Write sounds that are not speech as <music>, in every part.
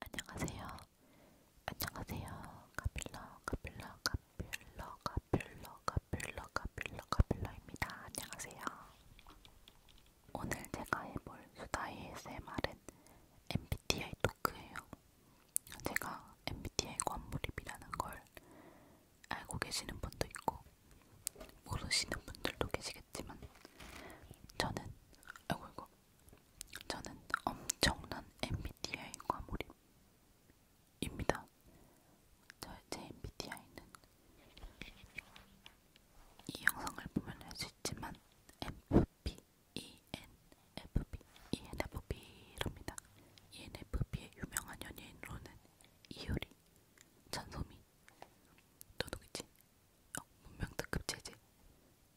안녕하세요. 안녕하세요. 카필러, 카필러, 카필러, 카필러, 카필러, 카필러, 카필러입니다. 안녕하세요. 오늘 제가 해볼 수다 ASMR은 MBTI 토크예요. 제가 MBTI 관몰입이라는 걸 알고 계시는 분도 있고 모르시는 분들도 계시겠지만 저는 아이고 이거 저는 엄청난 MBTI 과몰입입니다. 제 MBTI는 이 영상을 보면 알 수 있지만 FP, ENFP, ENFP랍니다. ENFP의 유명한 연예인으로는 이효리, 전소미, 도둑이지, 어, 문명 특급 체질.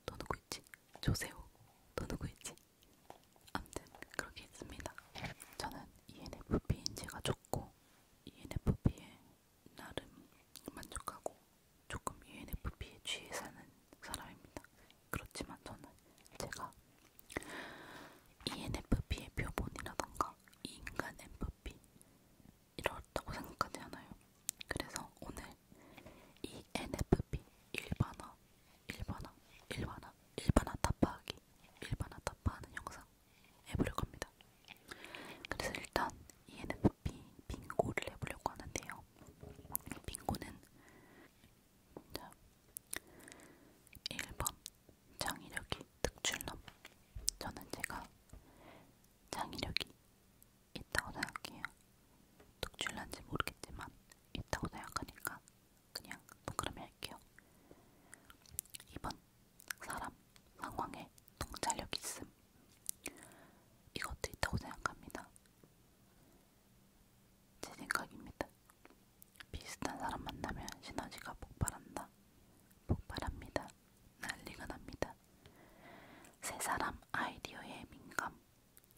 너 누구 있지? 조세호. 너 누구 있지? 아무튼 그렇게 있습니다. 저는 ENFP인 제가 좋고 ENFP에 나름 만족하고 조금 ENFP에 취해 사는 사람입니다. 그렇지만 저는 제가 ENFP의 표본이라던가 인간 MFP 이렇다고 생각하지 않아요. 그래서 오늘 이 NFP 일반화, 일반화, 일반화, 일반화 타파하기, 일반화 타파하는 영상 해보려 겁니다. 그래서 일단 이 NFP 빙고를 해보려고 하는데요. 빙고는 자, 1번 장의력이 특출남 저는 제가 장의력이 있다고 생각해요. 독출난지 모르겠지만 있다고 생각하니까 그냥 동그라미 할게요. 2번 사람, 상황에 통찰력 있음 이것도 있다고 생각합니다. 제 생각입니다. 비슷한 사람 만나면 시너지가 폭발한다. 폭발합니다. 난리가 납니다. 세 사람 아이디어에 민감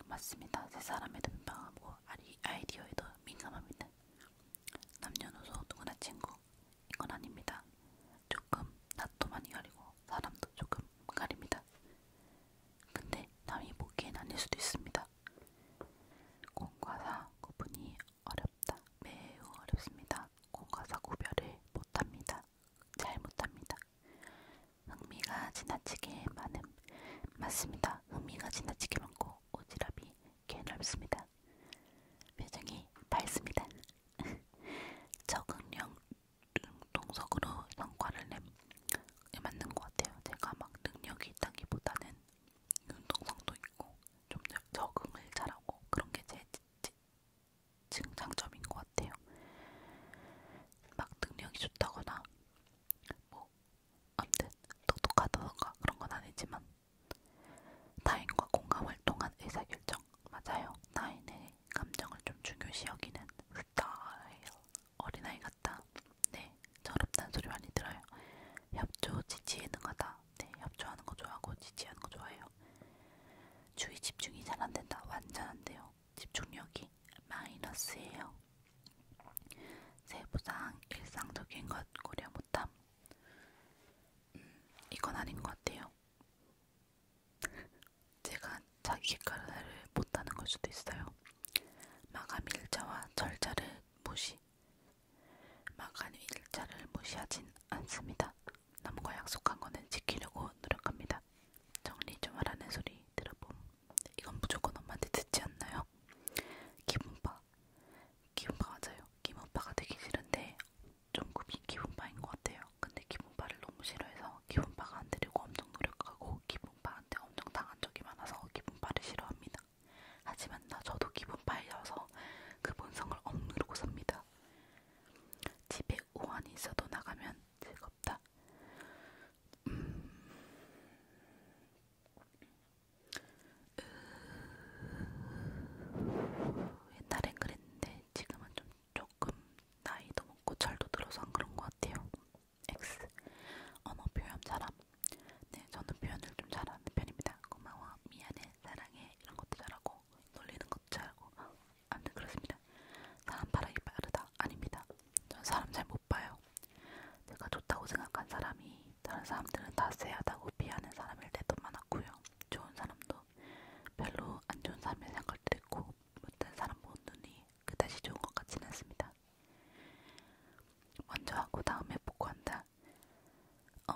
맞습니다. 세 사람에도 민감하고 아이디어에도 민감합니다. 남녀노소 누구나 친구 이건 아닙니다. 조금 낯도 많이 가리고 사람도 조금 가립니다. 근데 남이 보기엔 아닐 수도 있습니다. 공과 사 구분이 어렵다. 매우 어렵습니다. 공과 사 구별을 못합니다. 잘 못합니다. 흥미가 지나치게 많음. 맞습니다. 흥미가 지나치게 많고 오지랖이 개넓습니다. 표정이 밝습니다. <laughs> 적응력 능동석으로 성과를 내 맞는 것 같아요. 제가 막 능력이 있다기보다는 능동성도 있고 좀 적응을 잘하고 그런 게제 제, 증장점인 것 같아요. 막 능력이 좋다거나 뭐 아무튼 똑똑하다던가 그런 건 아니지만 타인과 공감을 통한 의사결정 맞아요. 타인의 감정을 좀 중요시 여기는 스타일 어린아이 같다. 네, 저럽다는 소리 많이 들어요. 협조 지지에 능하다. 네, 협조하는 거 좋아하고 지지하는 거 좋아해요. 주의 집중이 잘 안된다. 완전 안돼요. 집중력이 마이너스예요. 세부상 일상적인 것 고려 못함. 음, 이건 아닌 것 같아요. <laughs> 제가 자기 객관화를 못하는 걸 수도 있어요. 마감 일자와 절차를 무시. 마감 일자를 무시하진 않습니다. 남과 약속한 거는 지키려고 노력합니다. 정리 좀 하라는 소리 들어봄. 이건 무조건 엄마한테 듣지 않나요? 기분파. 기분파 맞아요. 기분파가 되기 싫은데 좀 급이 기분파인 것 같아요. 근데 기분파를 너무 싫어해서 기분파가 안 되려고 엄청 노력하고 기분파한테 엄청 당한 적이 많아서 기분파를 싫어합니다. 하지만 나 저도 기분파여서 그 본성을 억누르고 삽니다. 집에 우환이 있어도 나가면 즐겁다. 음... 으... 옛날엔 그랬는데 지금은 좀 조금 나이도 먹고 잘도 들어서 안 그런 것 같아요. X 언어 표현 잘함. 네, 저는 표현을 좀 잘하는 편입니다. 고마워, 미안해, 사랑해 이런 것도 잘하고 놀리는 것도 알고 아무튼 네, 그렇습니다. 사람 바라기 빠르다 아닙니다. 전 사람 잘 못 봐요. 내가 좋다고 생각한 사람이 다른 사람들은 다 쎄하다고 비하는 사람일 때도 많았고요. 좋은 사람도 별로 안 좋은 사람일 생각할 때도 있고 못된 사람 보는 눈이 그다지 좋은 것 같지는 않습니다. 먼저 하고 다음에 복구한다. 음,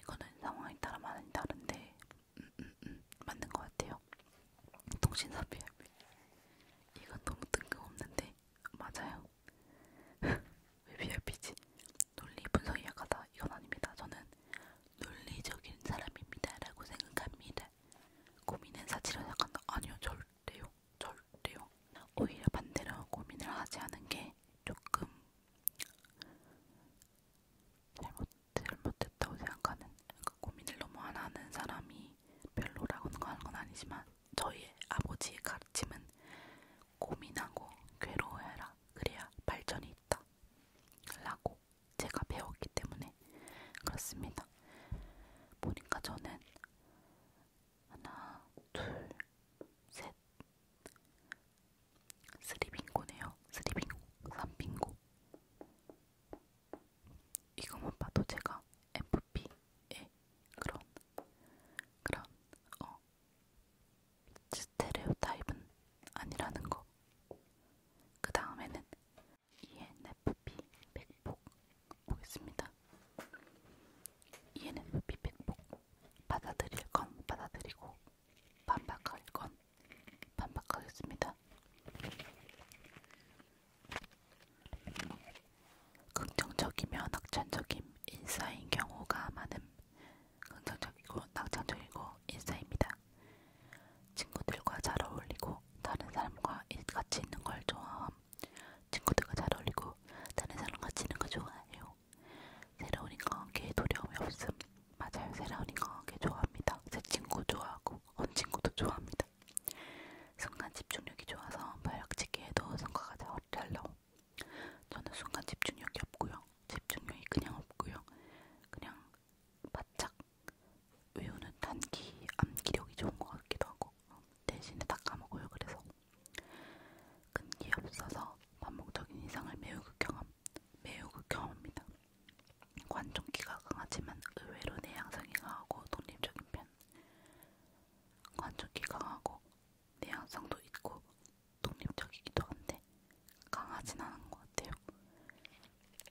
이거는 상황에 따라 많이 다른데 음, 음, 맞는 것 같아요. 통신사 비합이 이건 너무 뜬금없는데 맞아요. <laughs> 왜 VIP지? 논리 분석이 약하다. 이건 아닙니다. 저는 논리적인 사람입니다라고 생각합니다. 고민은 사치를 약한다. 아니요, 절대요, 절대요. 오히려 반대로 고민을 하지 않은 게 조금 잘못, 잘못했다고 생각하는 그러니까 고민을 너무 안 하는 사람이 별로라고 하는 건 아니지만 저희 아버지의 가르침은 고민하고 괴로워해라 그래야 발전이 있다 라고 제가 배웠기 때문에 그렇습니다 보니까 저는 하나 둘셋 스리빙고네요. 스리빙고, 삼빙고. 이거만 봐도 제가 FP의 그런 그런 어 스테레오 타입은 아니라는 거. 그 다음에는 ENFP 백복 보겠습니다. ENFP 백복 받아들일 건 받아들이고 반박할 건 반박하겠습니다. 긍정적이며 낙천적인 인싸인 경우가 많음. 긍정적이고 낙천적이고 인싸입니다. 친구들과 잘 어울리고 다른 사람과 같이 있는 걸 좋아함. 친구들과 잘 어울리고 다른 사람과 같이 있는 거 좋아해요. 좋아해요. 새로운 인간관계에 두려움이 없음. 맞아요. 새로운 인간관계 좋아합니다. 제 친구 좋아하고 언 친구도 좋아합니다. 순간 집중력이 좋아서 발역짓기에도 성과가 잘잘 나옴. 저는 순간 집중력이 없고요. 집중력이 그냥 없고요. 그냥 바짝 외우는 단기 암기력이 좋은 것 같기도 하고 대신에 다 까먹어요. 그래서 끈기 없어서 반복적인 이상을 매우 극경함. 매우 극혐합니다. 관종기가 강하지만 의외로 내향성이 강하고 독립적인 편. 관종기 강하고 내향성도 있고 독립적이기도 한데 강하진 않은 것 같아요.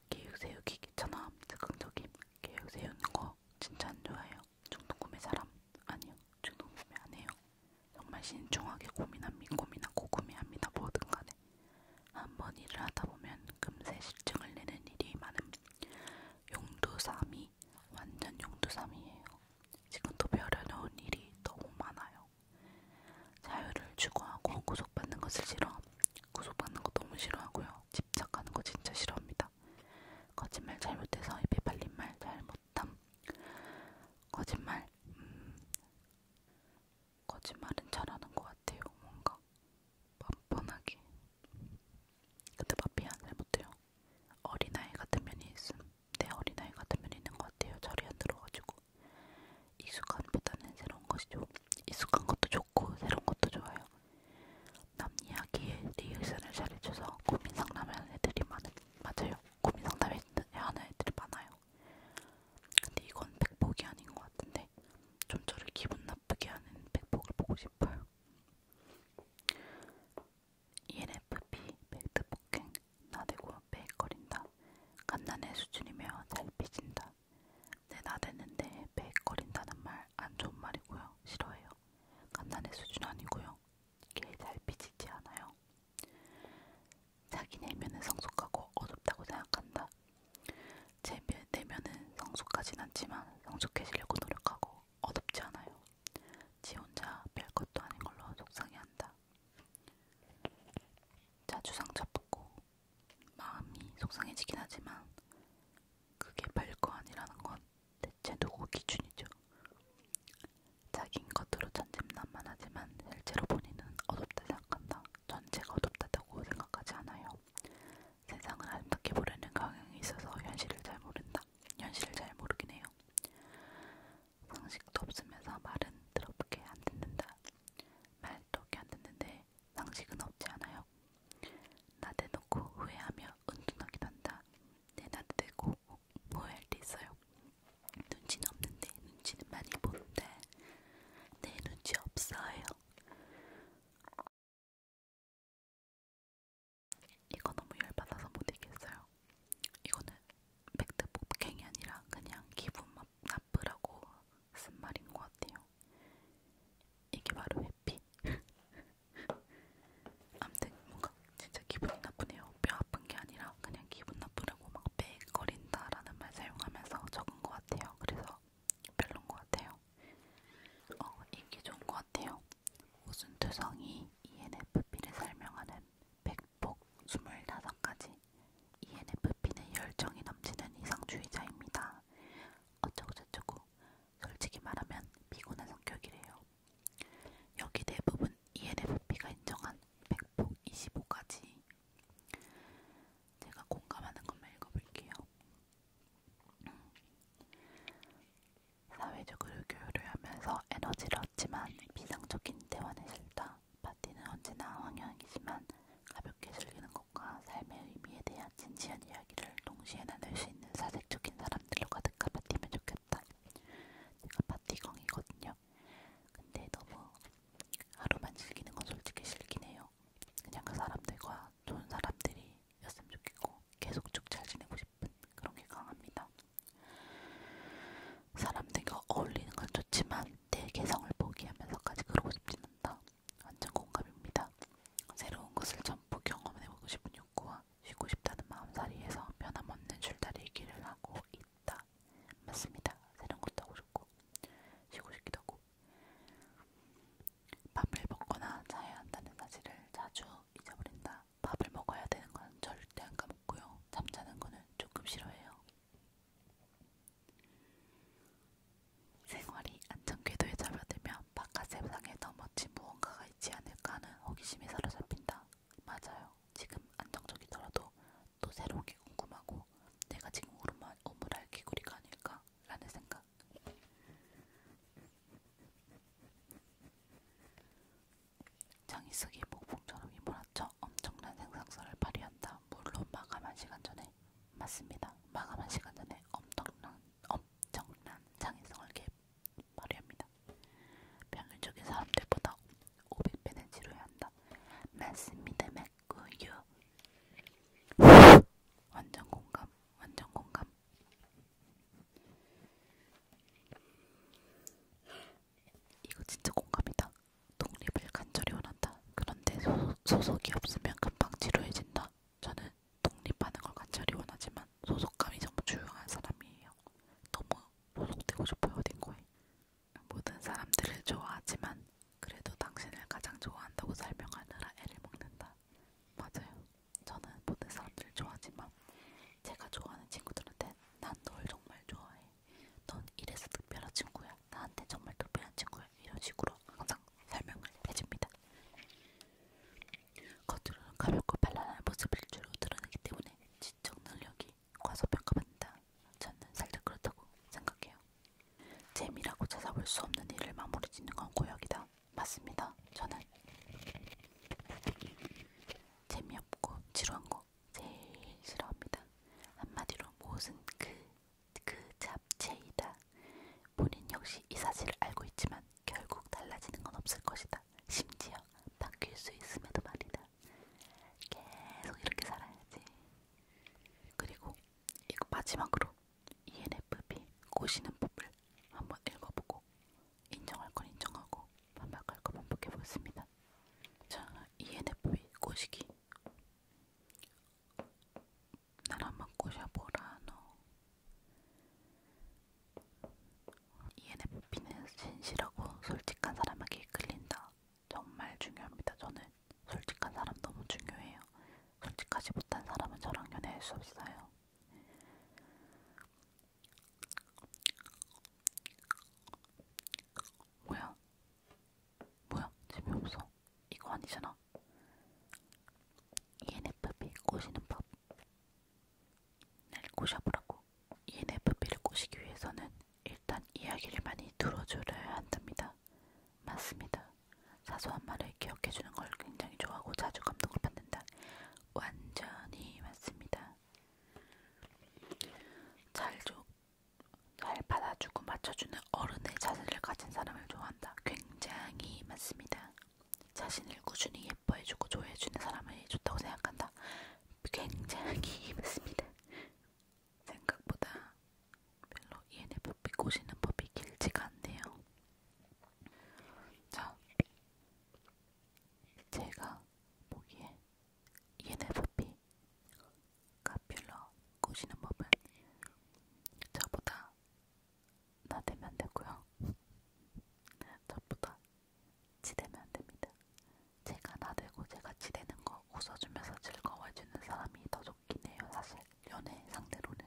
계획 세우기 귀찮아, 즉흥적임. 계획 세우는 거 진짜 안 좋아해요. 중독 구매 사람 아니요, 중독 구매 안 해요. 정말 신중하게 고민합니다. 고민하고 구매합니다. 뭐든 간에. 한번 일을 하다보면 금세 실증을 내는 일이 많음. 용두삼이 완전 용두삼이에요. 지금도 벼려놓은 일이 너무 많아요. 자유를 추구하고 구속받는 것을 싫어. 구속받는 거 너무 싫어하고요. 집착하는 거 진짜 싫어합니다. 거짓말 잘못해서 입에 발린 말 잘못 못함. 거짓말, 음, 거짓말은 잘하는 것 같아요. 뭔가 뻔뻔하게. 근데 마피아 잘 못해요. 어린아이 같은 면이 있음. 내 어린아이 같은 면이 있는 것 같아요. 저리 안 들어가지고. 익숙한보다는 새로운 것이 좋. 익숙한 것도 좋고 새로운 것도 좋아요. 남 이야기에 리액션을 잘해줘서 고민 상담하는 애들이 많은 맞아요. 고민 상담을 하는 애들이 많아요. 근데 이건 백복이 아닌 것 같은데 좀 저를 기분 나쁘게 하는 백복을 보고 싶어요. ENFP, 벨트폭행, 나대고 베이거린다. 간단의 수준이며 잘 삐진다. 내 네, 나대는데 베이거린다는 말 안 좋은 말이고요. 싫어해요. 간단의 수준 아니고요. 개잘 삐지지 않아요. 자기 내면은 성숙하고 어둡다고 생각한다. 제 내면은 성숙하진 않지만 성숙해지려고 노력하고 어둡지 않아요. 지 혼자 별것도 아닌 걸로 속상해한다. 자주 상처받고 마음이 속상해지긴 하지만 그게 별거 아니라는 건 대체 누구 기준이죠? 자긴 겉으로 천진난만하지만 실제로 본인은 어둡다 생각한다. 전체가 어둡다고 생각하지 않아요. 세상을 아름답게 보려는 경향이 있어서 현실을 잘 모른다. 현실을 잘 모르긴 해요. 상식도 없으면서 말은 더럽게 안 듣는다. 말도 안 듣는데 상식은 없지 않아요. 나대놓고 후회하며 은둔하기도 한다. 내 나대고 후회할 때 있어요. 눈치는 없는데 눈치는 많이 보는데 내 네, 눈치 없어요. 이거 너무 열받아서 못 이겼어요. 이거는 백트복 갱이 아니라 그냥 기분 나쁘라고 쓴 말인 것 같아요. 이게 바로 해피. <laughs> 아무튼 뭔가 진짜 기분이 나쁘네요. 뼈 아픈 게 아니라 그냥 기분 나쁘려고 막 빽거린다라는 말 사용하면서 적은 것 같아요. 그래서 별론 것 같아요. 어, 인기 좋은 것 같아요. 오순투성이 ENFP를 설명하는 백폭 25가지 ENFP는 열정이 넘치는 이상주의자입니다. 어쩌고저쩌고 솔직히 말하면 피곤한 성격이래요. 여기 대부분 ENFP가 인정한 백폭 25가지 제가 공감하는 것만 읽어볼게요. 사회적으로 교류를 하면서 에너지를 얻지만 비상적인 대화는 싫다. 파티는 언제나 황영이지만 가볍게 즐기는 것과 삶의 의미에 대한 진지한 이야기를 동시에 나눌 수 있는 사색적인 사람들로 가득한 파티면 좋겠다. 제가 파티광이거든요. 근데 너무 하루만 즐기는 건 솔직히 싫긴 해요. 그냥 그 사람들과 좋은 사람들이었으면 좋겠고 계속 쭉 잘 지내고 싶은 그런 게 강합니다. 사람들과 어울리는 건 좋지만 내 개성을 포기하면서까지 그러고 싶진 않다. 완전 공감입니다. 새로운 것을 전부 경험해보고 싶은 욕구와 쉬고 싶다는 마음살이에서 변함없는 줄다리기를 하고 있다. 맞습니다. 새로운 것도 하고 싶고 쉬고 싶기도 하고 밥을 먹거나 자야 한다는 사실을 자주 잊어버린다. 밥을 먹어야 되는 건 절대 안 까먹고요. 잠자는 거는 조금 싫어해요. 생활이 안전궤도에 잡아들면 바깥 세상에 더 멋진 무언가가 있지 않을까 하는 호기심에 사로잡힌다. 맞아요. 지금 안정적이더라도 또 새로운 게 궁금하고 내가 지금 오르만 오므랄 개구리가 아닐까라는 생각. 장이쓰기 목봉처럼 이몰아쳐 엄청난 생산성을 발휘한다. 물론 마감한 시간 전에 맞습니다. 마감한 시간 전에 엄청난 엄청난 장이성을 개입. 말이합니다. 평균적인 사람들보다 500배는 지루해 한다. 맞습니다, 맞고요. 완전 공감, 완전 공감. 이거 진짜 공감이다. 독립을 간절히 원한다. 그런데 소속, 소속이 없으면 금방 지루해진다. 저는 독립하는 걸 간절히 원하지만 소속감이 정말 중요한 사람이에요. 너무 소속되고 싶어요 어딘가에. 모든 사람들을 좋아하지만 그래도 당신을 가장 좋아한다고 설명하느라 애를 먹는다. 맞아요. 저는 모든 사람들을 좋아하지만 제가 좋아하는 친구들한테 난널 정말 좋아해. 넌 이래서 특별한 친구야. 나한테 정말 특별한 친구야. 이런 식으로 항상 설명을 해줍니다. 겉으로는 가볍고 발랄한 모습을 주로 드러내기 때문에 지적 능력이 과소평가받는다. 저는 살짝 그렇다고 생각해요. 재미라고 찾아볼 수 없는 일을 마무리 짓는 건 고역이다. 맞습니다. 저는 재미없고 지루한 거 제일 싫어합니다. 한마디로 무엇은 그, 그 잡채이다. 본인 역시 이 사실을 알고 있지만 결국 달라지는 건 없을 것이다. 심지어 바뀔 수 있음에도 말이다. 계속 이렇게 살아야지. 그리고 이거 마지막으로 ENFP 꼬시는 법을 한번 읽어보고 인정할 건 인정하고 반박할 건 반박해 보겠습니다. 자, ENFP 꼬시기. 나한번 꼬셔보라 너. ENFP는 진실하고 솔직한 사람에게 이끌린다. 정말 중요합니다. 저는 솔직한 사람 너무 중요해요. 솔직하지 못한 사람은 저랑 연애할 수 없어요. 뭐야? 뭐야? 재미없어. 이거 아니잖아. ENFP 꼬시는 법. 날 꼬셔보라고. ENFP를 꼬시기 위해서는 일단 이야기를 많이 들어줘야 한답니다. 맞습니다. 사소한 말을 기억해주는 걸 굉장히 좋아하고 자주 감동을 받는다. 완전히 맞습니다. 잘, 조, 잘 받아주고 맞춰주는 어른의 자세를 가진 사람을 좋아한다. 굉장히 맞습니다. 자신을 꾸준히 예뻐해주고 좋아해주는 사람을 좋다고 생각한다. 굉장히 맞습니다. 생각보다 별로 ENFP 꼬시는 법이 길지가 않네요. 자, 제가 보기에 ENFP 카퓰러 꼬시는 법은 저보다 나대면 안 되고요. 저보다 치대면 안 됩니다. 제가 나대고 제가 치대는 거 웃어주면서 즐거워해주는 사람이 더 좋긴 해요. 사실 연애 상대로는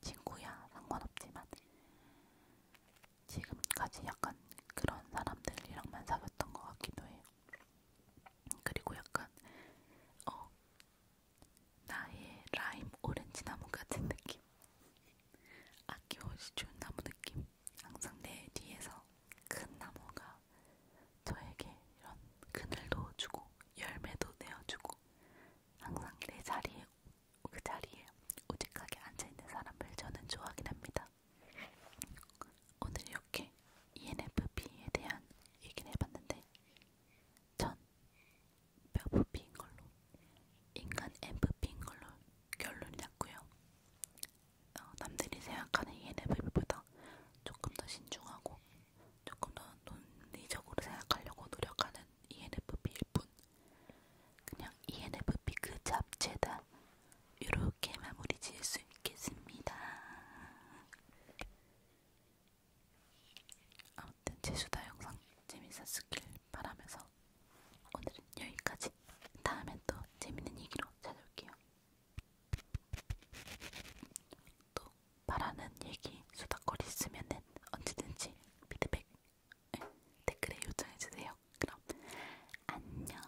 친구야 상관없지만 지금까지 약간 그런 사람들이랑만 사귀었던 것 같기도 해요. 그리고 약간 어 나의 라임 오렌지 나무 같은 느낌. 아낌없이 좋은 나무 느낌. 항상 내 뒤에서 큰 나무가 저에게 이런 그늘도 주고 열매도 내어주고 항상 내 자리에 그 자리에 오직하게 앉아있는 사람을 저는 좋아하긴 합니다. 오늘 이렇게 ENFP에 대한 얘기를 해봤는데 전 뼈부피인 걸로 인간 MVP인 걸로 결론이 났고요. 어, 남들이 생각하는 ENFP보다 조금 더 신중하고 조금 더 논리적으로 생각하려고 노력하는 ENFP일 뿐 그냥 ENFP 그 잡채다 이렇게 마무리 지을 수 있겠습니다. 아무튼 제 수다 영상 재밌었길 바라면서 오늘은 여기까지. 다음엔 또 재밌는 얘기로 찾아올게요. 또 바라는 얘기 수다거리 있으면은 언제든지 피드백 네, 댓글에 요청해 주세요. 그럼 안녕.